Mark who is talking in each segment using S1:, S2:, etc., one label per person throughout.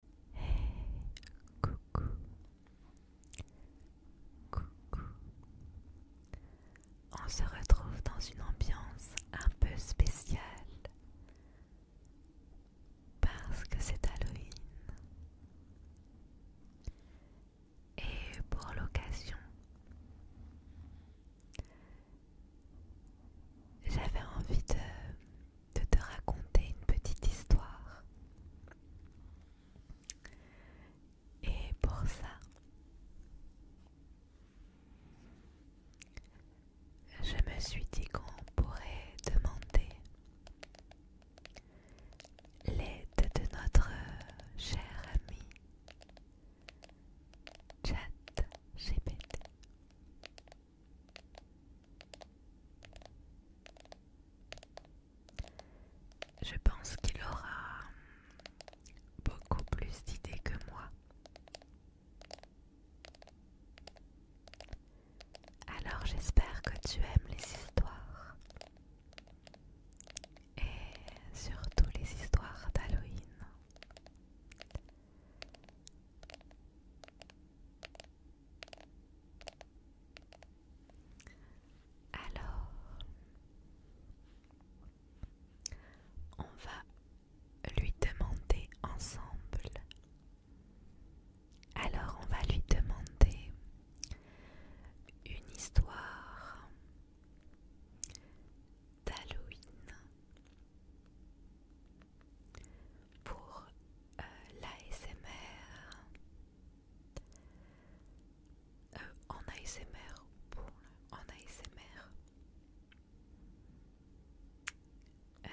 S1: coucou, coucou. On se retrouve dans une ambiance un peu spéciale parce que c'est Halloween. Et pour l'occasion, j'avais envie de de te raconter une petite histoire. Et pour ça, je me suis dit qu'on pourrait demander l'aide de notre cher ami Chat GPT. Je pense qu'il aura beaucoup plus d'idées que moi. Alors j'espère que tu aimes les histoires. Et surtout les histoires d'Halloween. Alors, on va lui demander ensemble. Alors, on va lui demander une histoire d'Halloween pour euh, l'ASMR. Euh, en ASMR, pour en ASMR. Euh,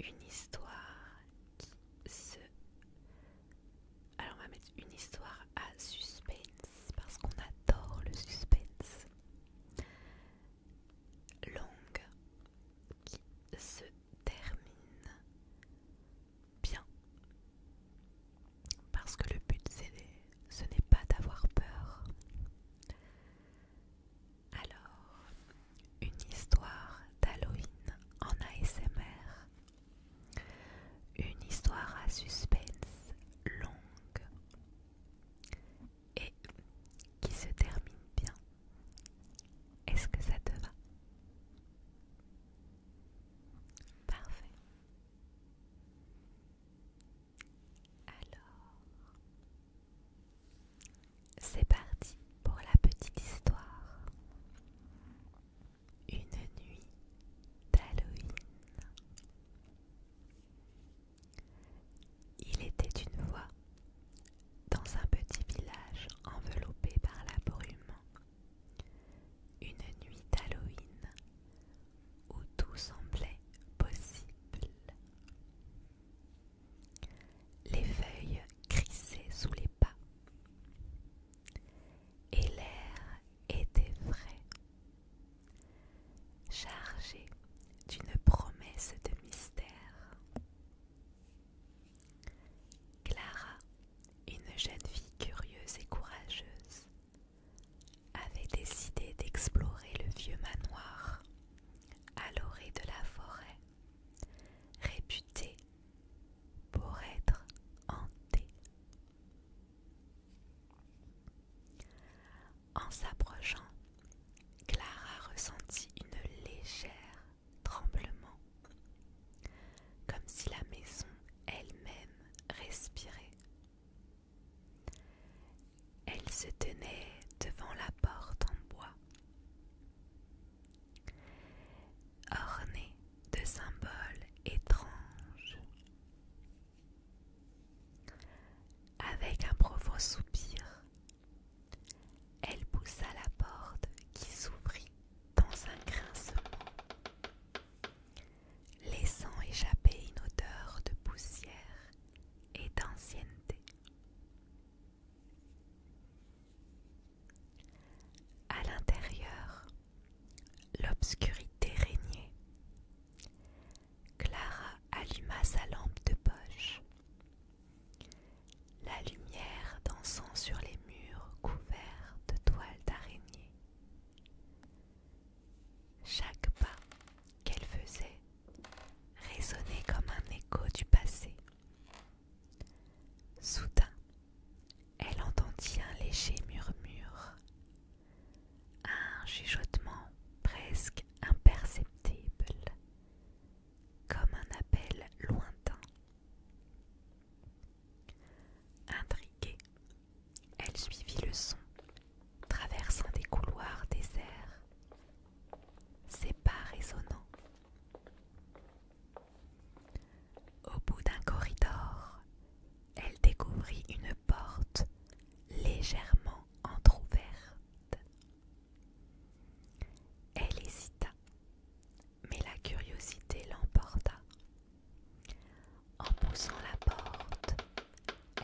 S1: une histoire qui se... Alors on va mettre une histoire à suspense parce qu'on adore le suspense longue qui se termine bien. Parce que le but, ce n'est pas d'avoir peur. Alors, une histoire d'Halloween en ASMR. Une histoire à suspense longue et qui se termine bien. Est-ce que ça te va Parfait. Alors, c'est parti pour la petite histoire. Une nuit d'Halloween. Il était une fois dans un petit village enveloppé par la brume, une nuit d'Halloween où tout semblait possible. Les feuilles crissaient sous les pas et l'air était frais. Chargée d'une promesse de mystère. Clara, une jeune fille curieuse et courageuse, avait décidé d'explorer le vieux manoir à l'orée de la forêt, réputé pour être hanté. En s'approchant, Clara ressentit une légère tremblement, comme si la maison elle-même respirait. Elle se tenait devant la porte en bois, ornée de symboles étranges. Avec un profond soupir, elle poussa la porte qui s'ouvrit dans un grincement, laissant échapper une odeur de poussière et d'ancienneté. À l'intérieur, l'obscurité régnait, Clara alluma sa lampe de poche. La lumière dansant sur les murs couverts de toiles d'araignée. Chaque pas qu'elle faisait résonnait comme un écho du passé. Soudain, elle entendit un léger murmure un chuchotement presque imperceptible, comme un appel lointain. Intriguée, elle suivit le son, traversant des couloirs déserts, ses pas résonnants. Au bout d'un corridor, elle découvrit une porte légèrement entr'ouverte. Elle hésita, mais la curiosité l'emporta. En poussant la porte,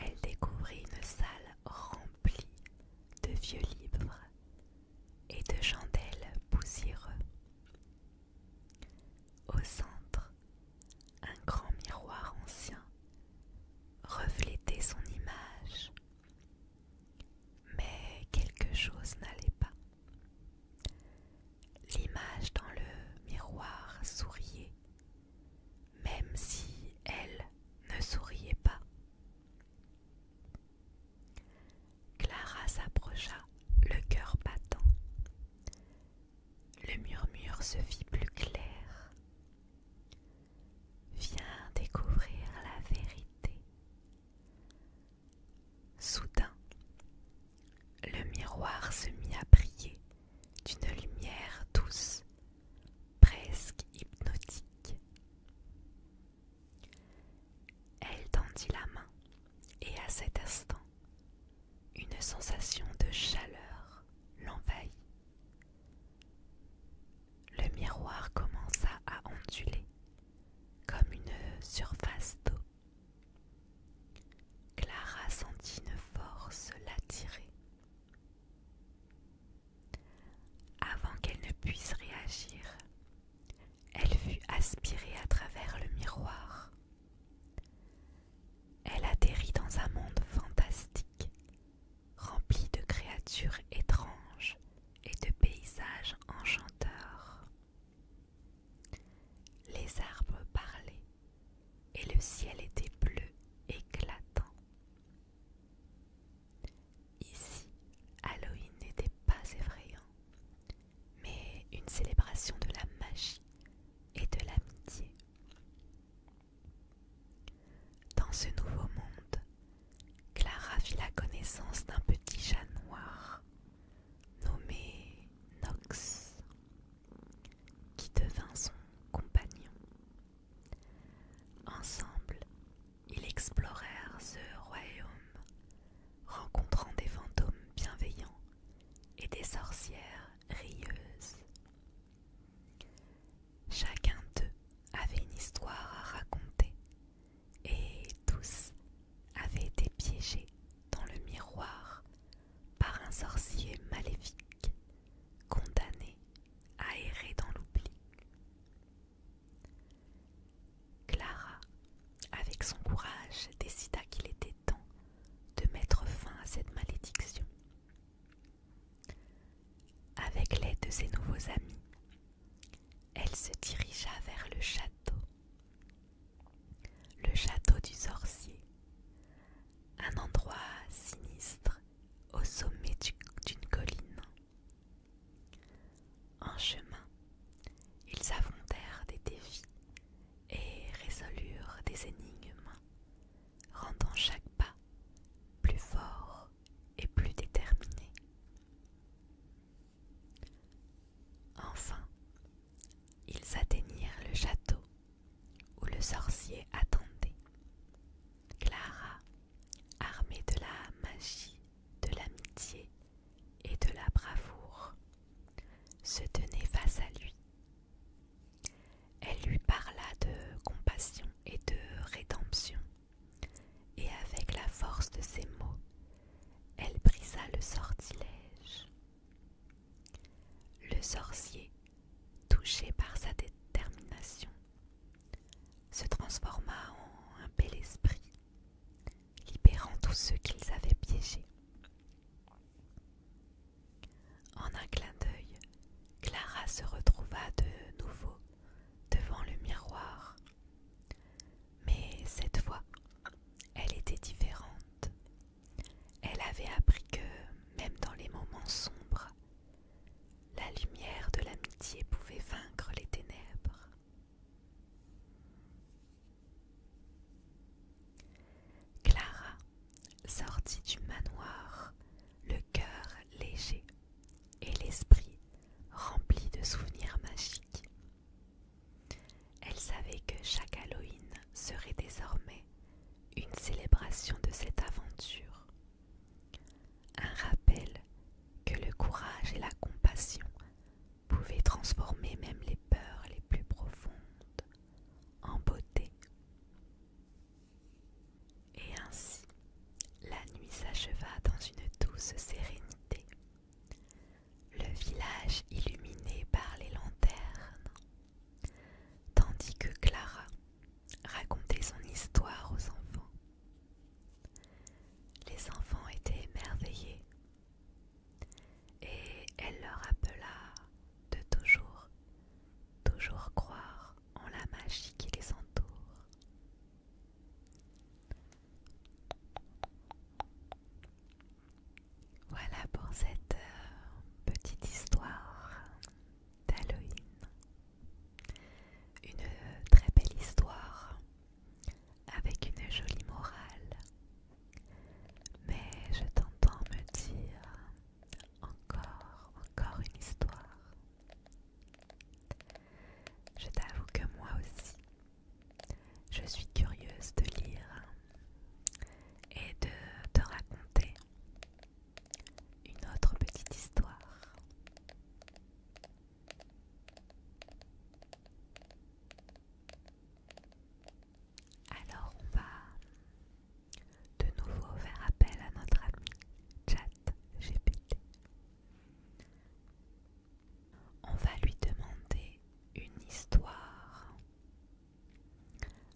S1: elle découvrit une salle remplie de vieux livres et de chandelles poussiéreux. Au centre, un grand miroir ancien reflétait son image. Mais quelque chose n'allait pas. L'image dans le miroir souriait, même si elle ne souriait pas. Clara s'approcha, le cœur battant. Le murmure se fit plus clair. Viens découvrir la vérité. Soudain, le miroir se mit à briller d'une lumière douce, presque hypnotique. Elle tendit la main et à cet instant, une sensation de chaleur l'envahit. Le miroir commença à onduler comme une surface d'eau. Clara sentit une force l'attirer. Avant qu'elle ne puisse réagir, elle fut aspirée à travers le miroir elle atterrit dans un monde fantastique, rempli de créatures étranges et de paysages enchanteurs. Les arbres parlaient et le ciel était bleu éclatant. Ici, Halloween n'était pas effrayant, mais une célébration de la magie et de l'amitié. Dans ce nouveau monde, Clara fit la connaissance d'un petit chat noir nommé Nox, qui devint son compagnon. Ensemble, ils explorèrent ce royaume, rencontrant des fantômes bienveillants et des sorcières rieuses Chacun d'eux avait une histoire à raconter et tous avaient été piégés dans le miroir par un sorcier maléfique condamné à errer dans l'oubli. Clara, avec son courage, décida qu'il était temps de mettre fin à cette malédiction. Avec l'aide de ses nouveaux amis, elle se dirigea vers le château. Le château du sorcier, un endroit sinistre au sommet d'une colline. En chemin, ils affrontèrent des défis et résolurent des énigmes, rendant chaque pas plus fort et plus déterminé. Enfin, ils atteignirent le château où le sorcier attendait. Clara, armée de la magie, de l'amitié et de la bravoure, se tenait face à lui elle lui parla de compassion et de rédemption, et avec la force de ses mots, elle brisa le sortilège. Le sorcier, touché par sa détermination, se transforma en un bel esprit, libérant tous ceux qu'ils avaient piégés. En un clin d'œil, Clara se retrouva de nouveau devant le miroir. Mais cette fois, elle était différente. Elle avait appris que, même dans les moments sombres, la lumière de l'amitié pouvait vaincre les ténèbres. Clara sortit du manoir, le cœur léger et l'esprit rempli de souvenirs magiques. Elle savait que chaque Halloween serait désormais une célébration de cette aventure, un rappel que le courage et la compassion pouvaient transformer même les peurs les plus profondes en beauté. Et ainsi, la nuit s'acheva dans une douce sérénité. Le village illuminé par les lanternes, tandis que Clara racontait son histoire aux enfants. Les enfants étaient émerveillés et elle leur appela de toujours, toujours croire en la magie qui les entoure. Voilà pour cette euh, petite histoire d'Halloween. Une euh, très belle histoire avec une jolie morale mais je t'entends me dire encore, encore une histoire. Je t'avoue que moi aussi, je suis curieuse de lire et de te raconter une autre petite histoire. Alors on va de nouveau faire appel à notre ami Chat GPT. On va lui demander une histoire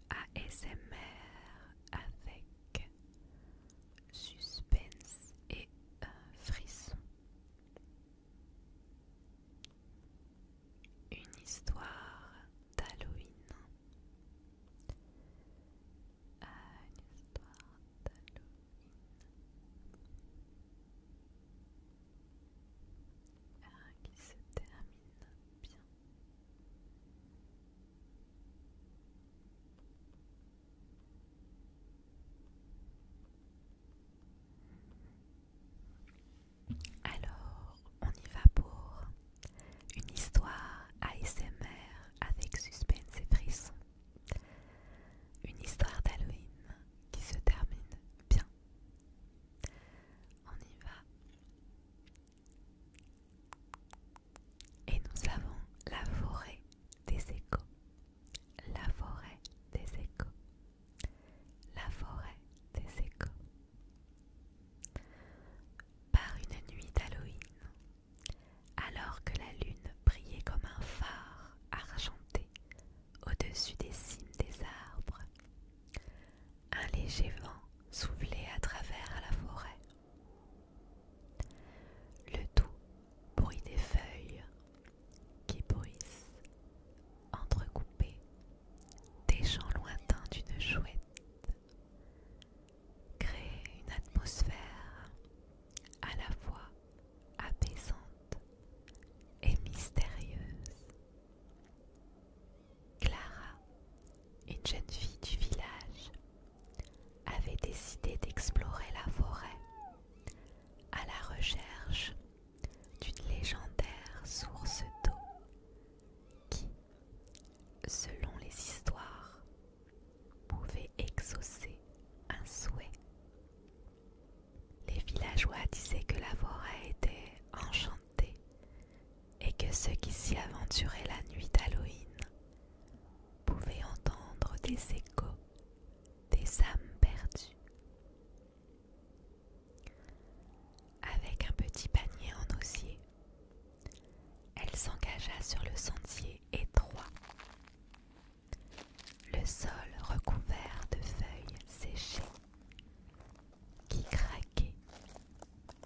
S1: ASMR avec suspense et un frisson. Une histoire d'Halloween. Ah, une histoire d'Halloween. Ah, qui se termine bien. Alors, on y va pour une histoire ASMR avec suspense et frissons. Une histoire d'Halloween qui se termine bien. On y va. Et nous avons la forêt des échos. La forêt des échos la forêt des échos. Par une nuit d'Halloween, alors que la lune brillait comme un phare argenté au-dessus des cimes des arbres, un léger vent soufflait à travers la forêt. Le doux bruit des feuilles qui bruissent, entrecoupés des chants lointains d'une chouette, créent une atmosphère à la fois apaisante et mystérieuse. Clara, une jeune fille du village, avait décidé d'explorer la forêt à la recherche d'une légendaire source d'eau qui, selon les histoires, pouvait exaucer un souhait. Les villageois disaient que la forêt était enchantée et que ceux qui s'y aventuraient la nuit d'Halloween pouvaient entendre des échos des âmes perdues avec un petit panier en osier, elle s'engagea sur le sentier étroit. Le sol recouvert de feuilles séchées qui craquaient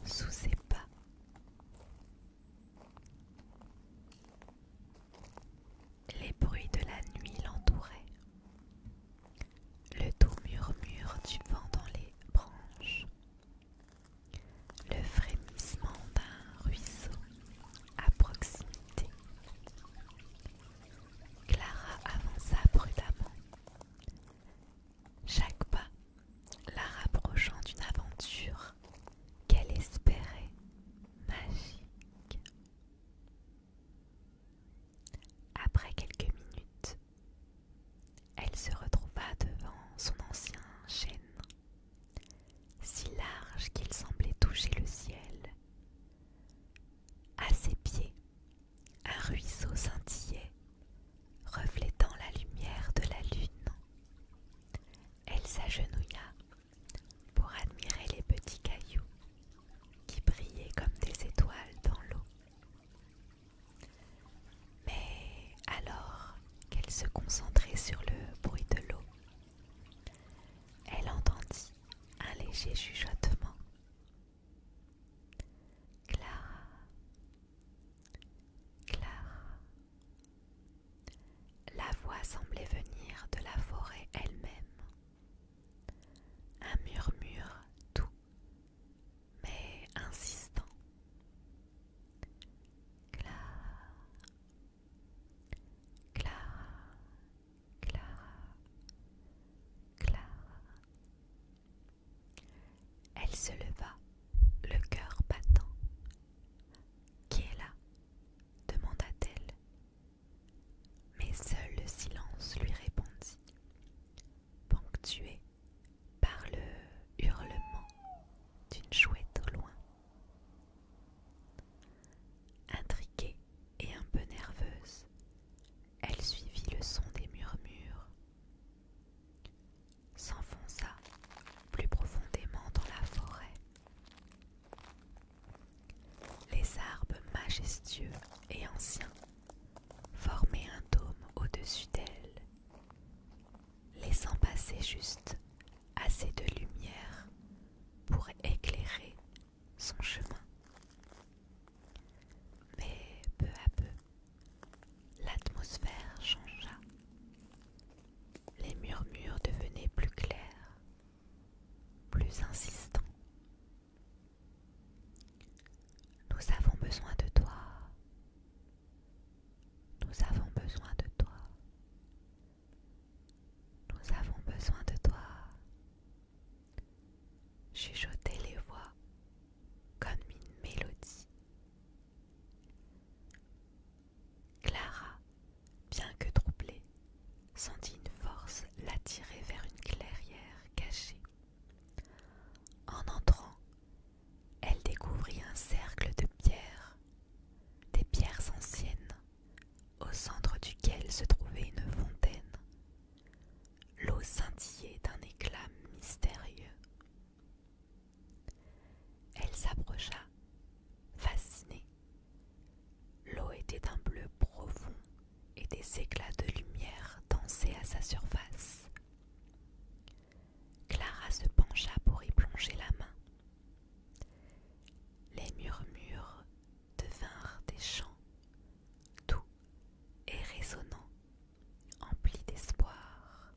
S1: sous ses pas les bruits de la nuit l'entouraient. Le doux murmure du vent dans les branches, le frémissement d'un ruisseau à proximité. Clara avança prudemment, chaque pas la rapprochant d'une aventure qu'elle espérait magique. Après quelques minutes, elle se retrouva devant son ancien chêne, si large qu'il semblait toucher le ciel. À ses pieds, un ruisseau scintillait, reflétant la lumière de la lune. Elle s'agenouilla pour admirer les petits cailloux qui brillaient comme des étoiles dans l'eau. Mais alors qu'elle se concentrait sur le bruit de l'eau, elle entendit un léger chuchotement. Clara, Clara. La voix semblait venir de la forêt elle-même. Un murmure doux mais insistant. Clara, Clara, Clara. Elle se leva, le cœur battant. Qui est là demanda-t-elle. Mais seul le silence lui répondit, ponctué par le hurlement d'une chouette au loin. Intriquée et un peu nerveuse, elle suivit le son des murmures, s'enfonça plus profondément dans la forêt les arbres majestueux et anciens formaient un dôme au-dessus d'elle, laissant passer juste assez de lumière pour éclairer son chemin. Mais peu à peu, l'atmosphère changea. Les murmures devenaient plus clairs plus insistant. Nous avons besoin de toi. Nous avons besoin de toi. Nous avons besoin de toi. Chuchoter les voix comme une mélodie. Clara bien que troublée, sentit une force l'attirer vers une clairière cachée. En entrant, elle découvrit un cercle de pierres, des pierres anciennes, au centre duquel se trouvait une fontaine. L'eau scintillait d'un éclat mystérieux. Elle s'approcha, fascinée, L'eau était d'un bleu profond et des éclats de lumière dansaient à sa surface. Clara se pencha pour y plonger la main. Les murmures devinrent des chants, doux et résonnants, emplis d'espoir.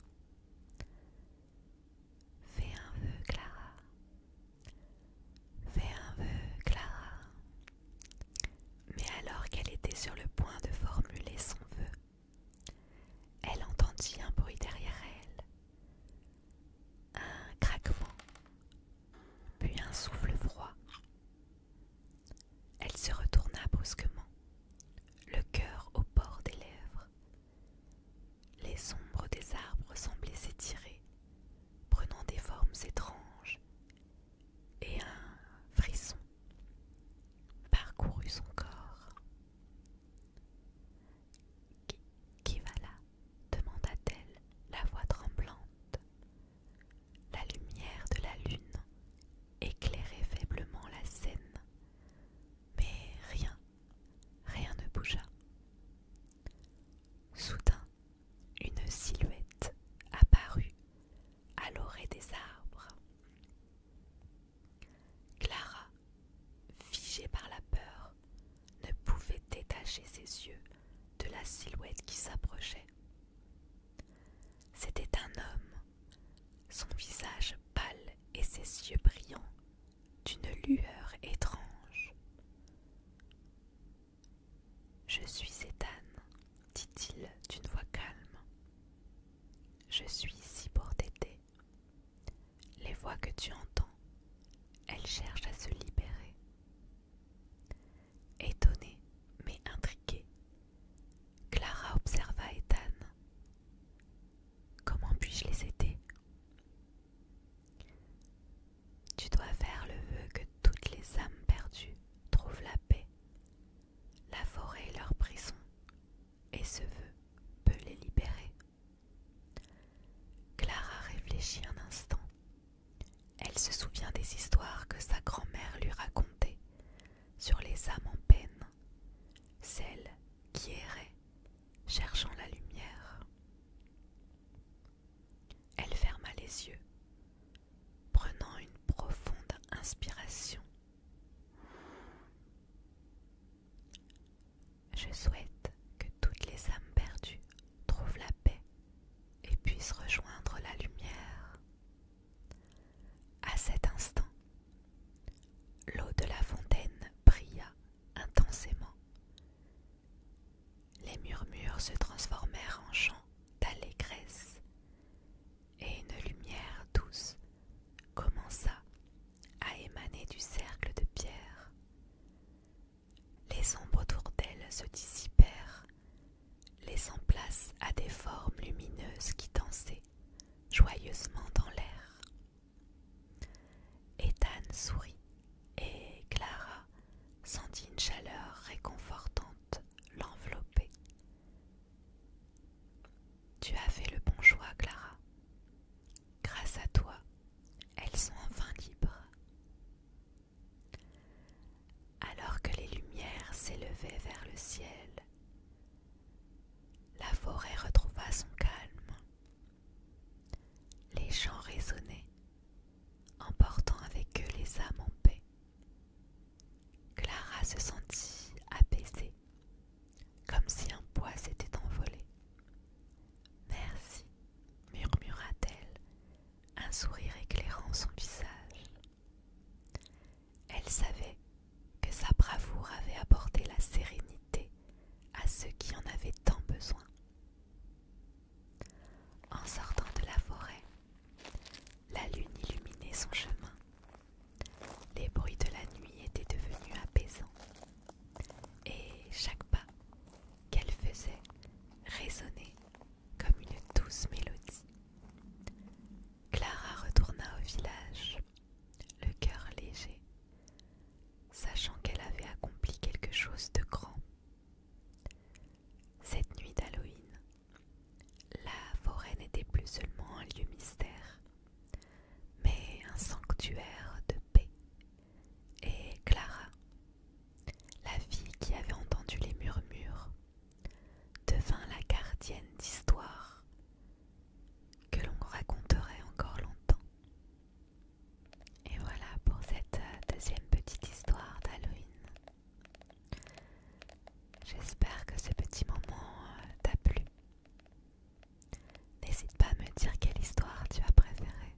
S1: Fais un vœu, Clara. Fais un vœu, Clara. Mais alors qu'elle était sur le point de formuler son vœu, elle entendit un bruit derrière elle, un craquement, puis un souffle froid. Elle se retourna brusquement, le cœur au bord des lèvres, les ombres des arbres semblaient s'étirer, prenant des formes étranges, et un frisson parcourut son corps. Qui, va là demanda-t-elle, la voix tremblante. La lumière de la lune éclairait faiblement la scène, mais rien Rien ne bougea. Soudain, une silhouette apparut à l'orée des arbres. Clara, figée par la peur, ne pouvait détacher ses yeux de la silhouette qui s'approchait. C'était un homme, son visage pâle et ses yeux brillants d'une lueur étrange. Je suis Ethan, dit-il d'une voix calme. Je suis ici pour t'aider. Les voix que tu entends, elles cherchent à se libérer. Étonnée mais intriguée, Clara observa Ethan. Comment puis-je les aider tu dois faire le vœu que toutes les âmes perdues trouvent la paix. La forêt est leur prison, et ce vœu peut les libérer. Clara réfléchit un instant. Elle se souvient des histoires que sa grand-mère lui racontait sur les âmes en peine, celles qui erraient cherchant la lumière. Elle ferma les yeux, prenant une profonde inspiration. Je souhaite que toutes les âmes perdues trouvent la paix et puissent rejoindre la lumière. À cet instant, l'eau de la fontaine brilla intensément. Les murmures se transformèrent en chants d'allégresse et une lumière douce commença à émaner du cercle de pierre. Les ombres autour d'elle se dissipèrent, laissant place à des formes lumineuses qui dansaient joyeusement dans l'air. Ethan sourit et Clara sentit une chaleur réconfortante l'envelopper. Tu as fait le bon choix, Clara. Grâce à toi, elles sont enfin libres. Alors que les lumières s'élevaient vers le ciel, la forêt retrouva son calme les chants résonnaient, emportant avec eux les âmes en paix. Clara se sentit apaisée, comme si un poids s'était envolé. Merci, murmura-t-elle, un sourire éclairant son visage. Elle savait que sa bravoure avait apporté la sérénité à ceux qui en avaient tant besoin. En sortant de la forêt, la lune illuminait son chemin. Les bruits de la nuit étaient devenus apaisants, et chaque pas qu'elle faisait résonnait comme une douce mélodie. Clara retourna au village le cœur léger, sachant qu'elle avait accompli quelque chose de grand. Cette nuit d'Halloween, la forêt n'était plus seulement un lieu mystère, mais un sanctuaire de paix. Et Clara, la fille qui avait entendu les murmures, devint la gardienne d'histoires que l'on raconterait encore longtemps. Et voilà pour cette euh, deuxième petite histoire d'Halloween. J'espère que ce petit moment euh, t'a plu. N'hésite pas à me dire quelle histoire tu as préférée.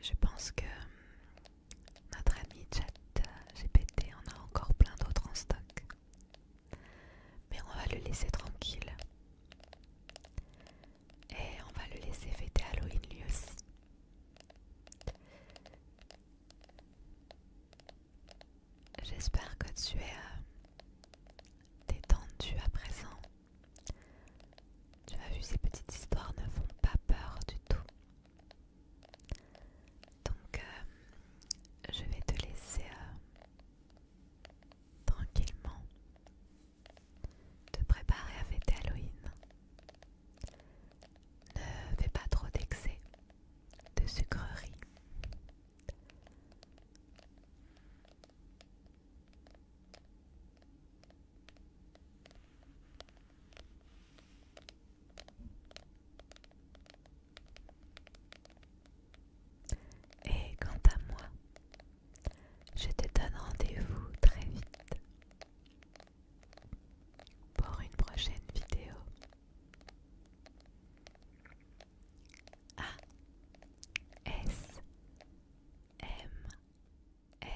S1: Je pense que notre ami Chat euh, GPT on a encore plein d'autres en stock. Mais on va le laisser tranquille. Et on va le laisser fêter Halloween lui aussi. J'espère que tu es euh, détendu à présent. Tu as vu, ces petites histoires ne font pas peur du tout. Donc, euh, je vais te laisser euh, tranquillement te préparer à fêter Halloween. Ne fais pas trop d'excès de sucreries. Et quant à moi, je te donne rendez-vous très vite pour une prochaine vidéo. A S M R